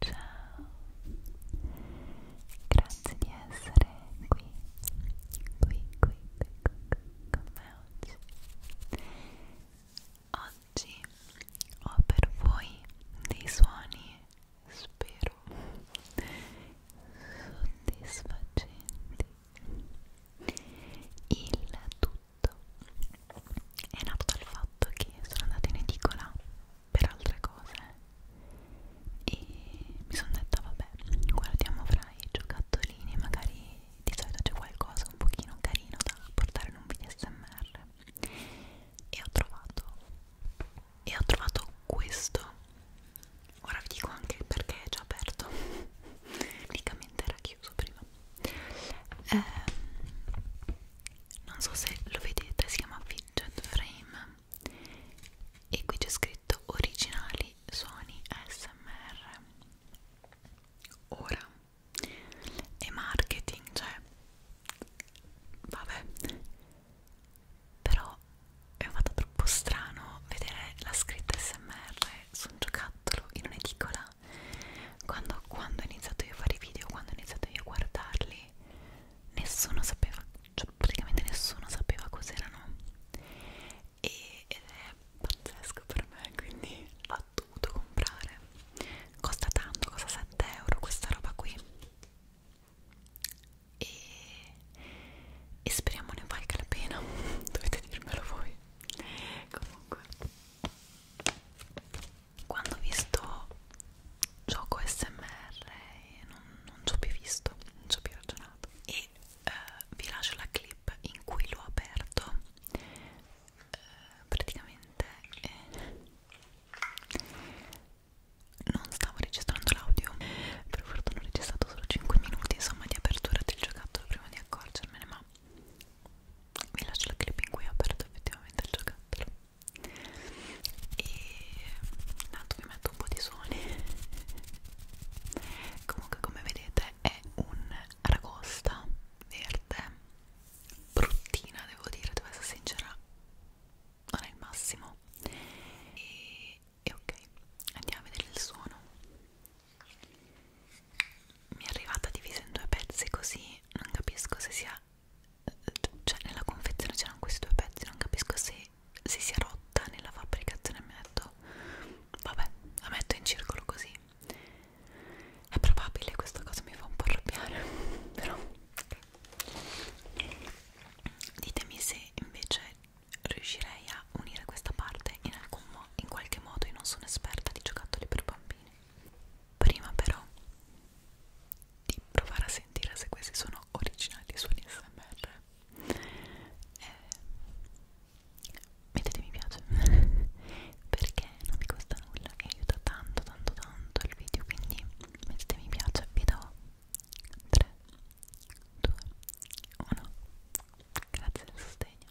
ciao grazie di essere qui qui qui, qui, qui con me oggi oggi ho per voi dei suoni spero soddisfacenti il tutto è nato dal fatto che sono andata in edicola per altre cose e mi sono detta vabbè guardiamo fra i giocattolini magari di solito c'è qualcosa un pochino carino da portare in un video smr e ho trovato e ho trovato questo ora vi dico anche perché è già aperto praticamente era chiuso prima eh, non so se lo vedete si chiama Fidget Frame e qui c'è scritto originali suoni ASMR ora e marketing cioè vabbè però è fatto troppo strano vedere la scritta smr su un giocattolo in un'edicola quando, quando ho iniziato io a fare i video, quando ho iniziato io a guardarli, nessuno sapeva, cioè praticamente nessuno sapeva cos'erano e, ed è pazzesco per me, quindi l'ho dovuto comprare costa tanto, costa 7 euro questa roba qui e, e speriamo ne valga la pena, dovete dirmelo voi comunque quando ho visto gioco smr non, non ci ho più visto non ci ho più ragionato e uh, vi lascio la clip in cui l'ho aperto uh, praticamente eh, non stavo registrando l'audio per fortuna ho registrato solo 5 minuti insomma di apertura del giocattolo prima di accorgermene ma vi lascio la clip in cui ho aperto effettivamente il giocattolo e intanto vi metto un po' di suoni comunque come vedete è un ragosta verde bruttina devo dire devo essere sincera non è il massimo e, e ok andiamo a vedere il suono mi è arrivata divisa in due pezzi così non capisco se sia cioè nella confezione c'erano questi due pezzi non capisco se, se si sia rotta nella fabbricazione mi ha detto vabbè la metto in circolo così è probabile questa cosa mi fa un po' arrabbiare però ditemi se invece riuscirei a unire questa parte in alcun modo in qualche modo io non sono esperta di giocattoli per bambini Prima però di provare a sentire se questi sono originali suoni smr eh, mettete mi piace perché non mi costa nulla e aiuta tanto tanto tanto il video quindi mettete mi piace vi do 3 2 1 grazie del sostegno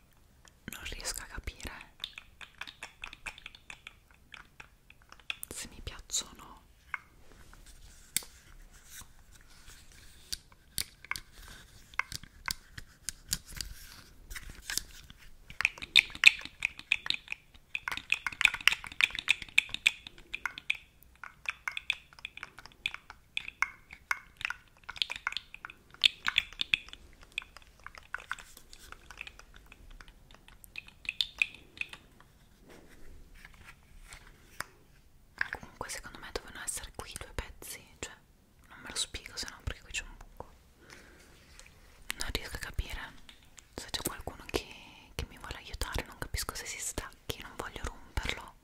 non riesco a capire se mi piacciono o no Comunque secondo me dovevano essere qui i due pezzi, cioè non me lo spiego se no perché qui c'è un buco. Non riesco a capire se c'è qualcuno che, che mi vuole aiutare, non capisco se si stacchi, non voglio romperlo.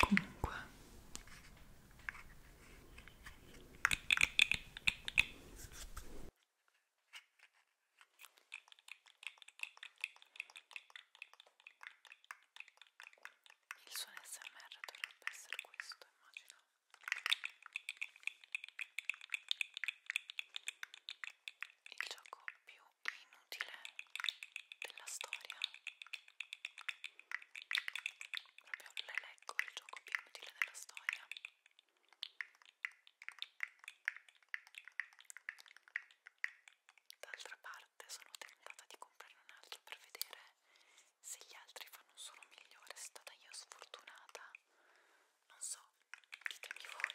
Comunque il suo SMR dovrebbe essere questo, immagino. Il gioco più più inutile della storia proprio l'elenco il gioco più inutile della storia d'altra parte sono tentata di comprare un altro per vedere se gli altri fanno un suono migliore, è stata io sfortunata non so, ditemi voi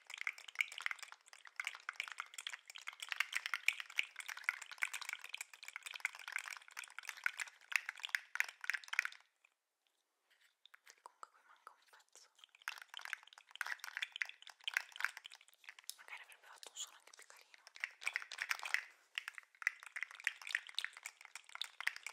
Comunque qui manca un pezzo. Magari avrebbe fatto un suono anche più carino.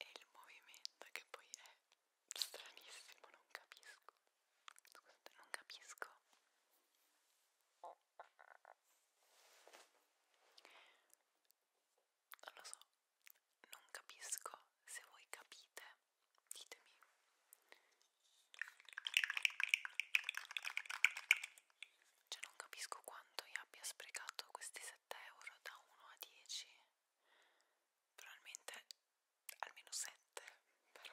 e il movimento che poi è stranissimo, non capisco. Scusate, non capisco. Non lo so, non capisco. Se voi capite, ditemi. Cioè non capisco quanto io abbia sprecato questi 7 euro da 1 a 10 probabilmente almeno 7 però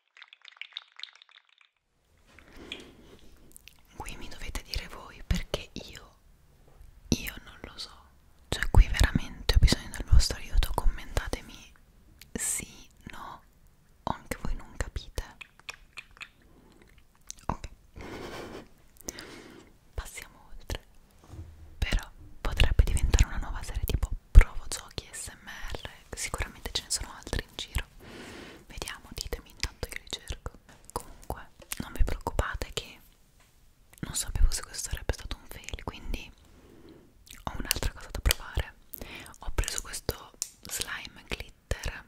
Qui mi dovete dire voi perché io, io non lo so. Cioè qui veramente ho bisogno del vostro aiuto, commentatemi sì, no, o anche voi non capite. Ok. Passiamo oltre. Però potrebbe diventare una nuova serie tipo provo giochi SMR sicuramente ce ne sono altri in giro vediamo ditemi intanto io li cerco comunque non vi preoccupate che non sapevo se questo sarebbe stato un fail quindi ho un'altra cosa da provare ho preso questo slime glitter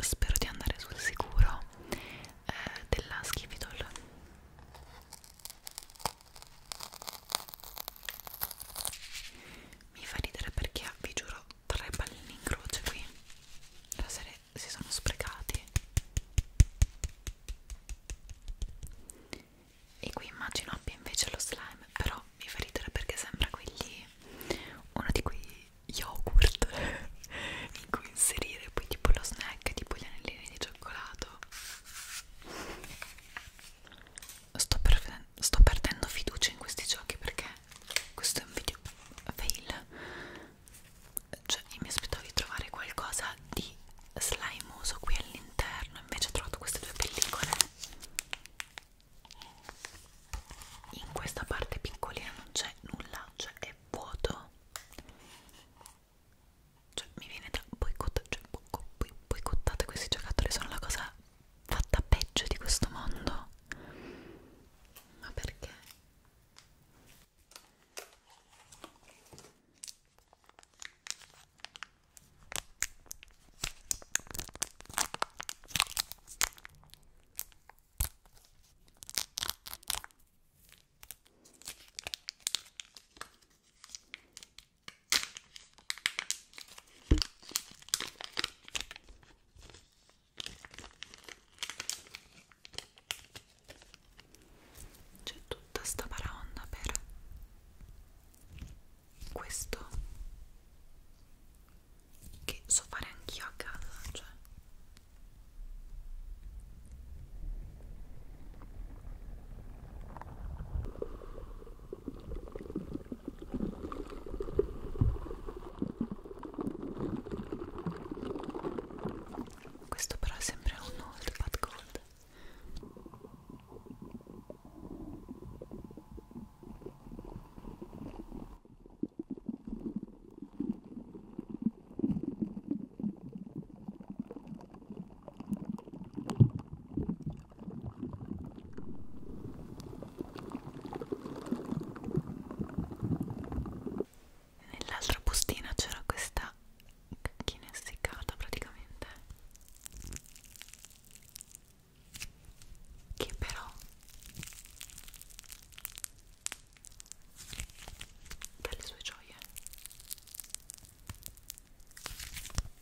spero di andare sul sicuro eh, della Skifidol mi fa ridere perché ha, vi giuro, tre pallini in croce qui la serie si sono sprecati e qui immagino abbia invece lo slime però mi fa ridere perché sembra quegli uno di quei yogurt in cui inserire poi tipo lo snack tipo gli anellini di cioccolato sto, per, sto perdendo fiducia in questi giochi perché questo è un video fail cioè io mi aspettavo di trovare qualcosa di slimoso qui all'interno invece ho trovato queste due pellicole in questa parte piccolina non c'è nulla cioè è vuoto cioè mi viene da boicottare, cioè boi, boicottate questi giocattoli sono la cosa fatta peggio di questo mondo ma perché? C'è tutta sta paronda per questo che so fare anch'io a casa, cioè questo però è sempre un old but gold. Nell'altra bustina c'era questa cacchina essiccata praticamente che però dalle sue gioie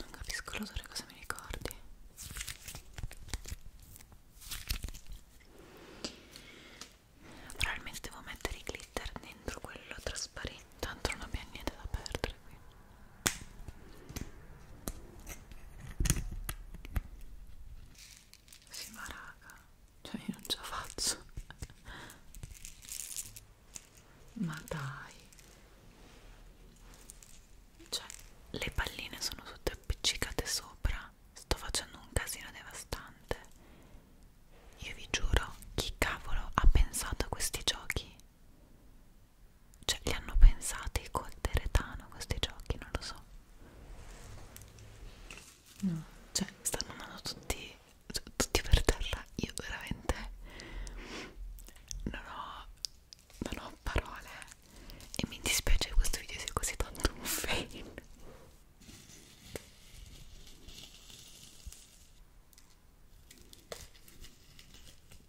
Non capisco l'odore cosa mi ricordi. Probabilmente devo mettere i glitter dentro quello trasparente, tanto non abbiamo niente da perdere qui. Sì ma raga, cioè io non ce la faccio Ma dai Cioè le palline sono tutte appiccicate sopra Sto facendo un casino devastante Io vi giuro, chi cavolo ha pensato a questi giochi? cioè li hanno pensati col teretano questi giochi, non lo so no, cioè stanno andando tutti cioè, tutti per terra, io veramente non ho, non ho parole e mi dispiace che questo video sia così tanto un fail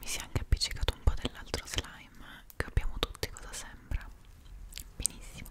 Mi si è anche appiccicato un po' dell'altro slime eh, che abbiamo tutti, cosa sembra? Benissimo.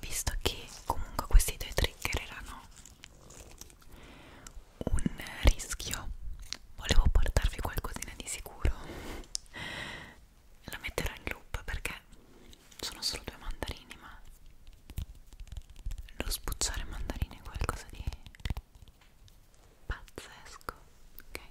visto che comunque questi due trigger erano un rischio volevo portarvi qualcosina di sicuro la metterò in loop perché sono solo due mandarini ma lo spuzziare mandarini è qualcosa di pazzesco ok ok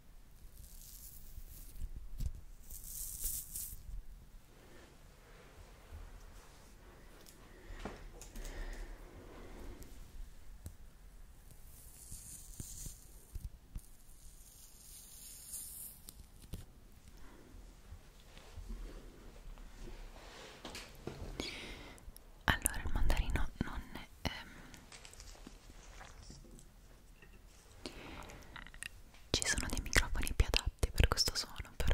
Allora il mandarino non ehm, ci sono dei microfoni più adatti per questo suono, però.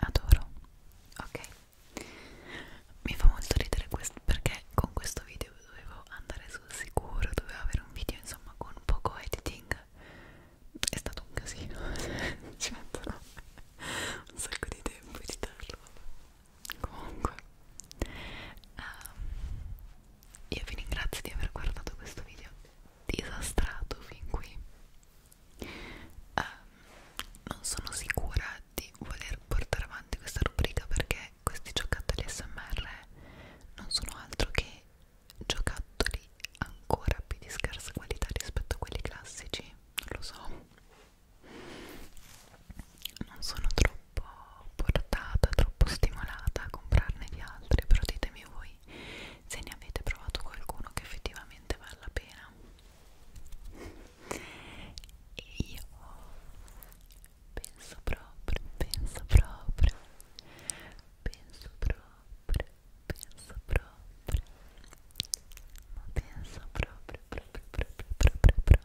Adoro, ok. Mi fa molto ridere questo perché con questo video dovevo andare sul sicuro, dovevo avere un video insomma con poco editing. È stato un casino, ci metterò un sacco di tempo a editarlo comunque um, io vi ringrazio di aver guardato questo video disastrato fin qui um, non sono sicura di voler portare avanti questa rubrica perché questi giocattoli smr non sono altro che giocattoli ancora più di scarsa qualità rispetto a quelli classici non lo so non sono troppo portata, troppo stimolata a comprarne di altri, però ditemi voi se ne avete provato qualcuno che effettivamente vale la pena. E io penso proprio, penso proprio, penso proprio, penso proprio, ma penso proprio, proprio, proprio, proprio, proprio,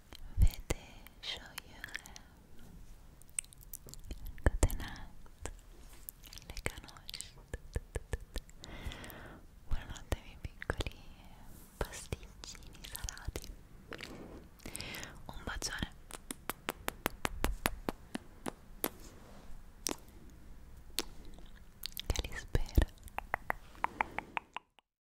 Vede, show you have. Good night. Leganosci. Buonanotte ai piccoli pasticcini salati. Un bacione. Che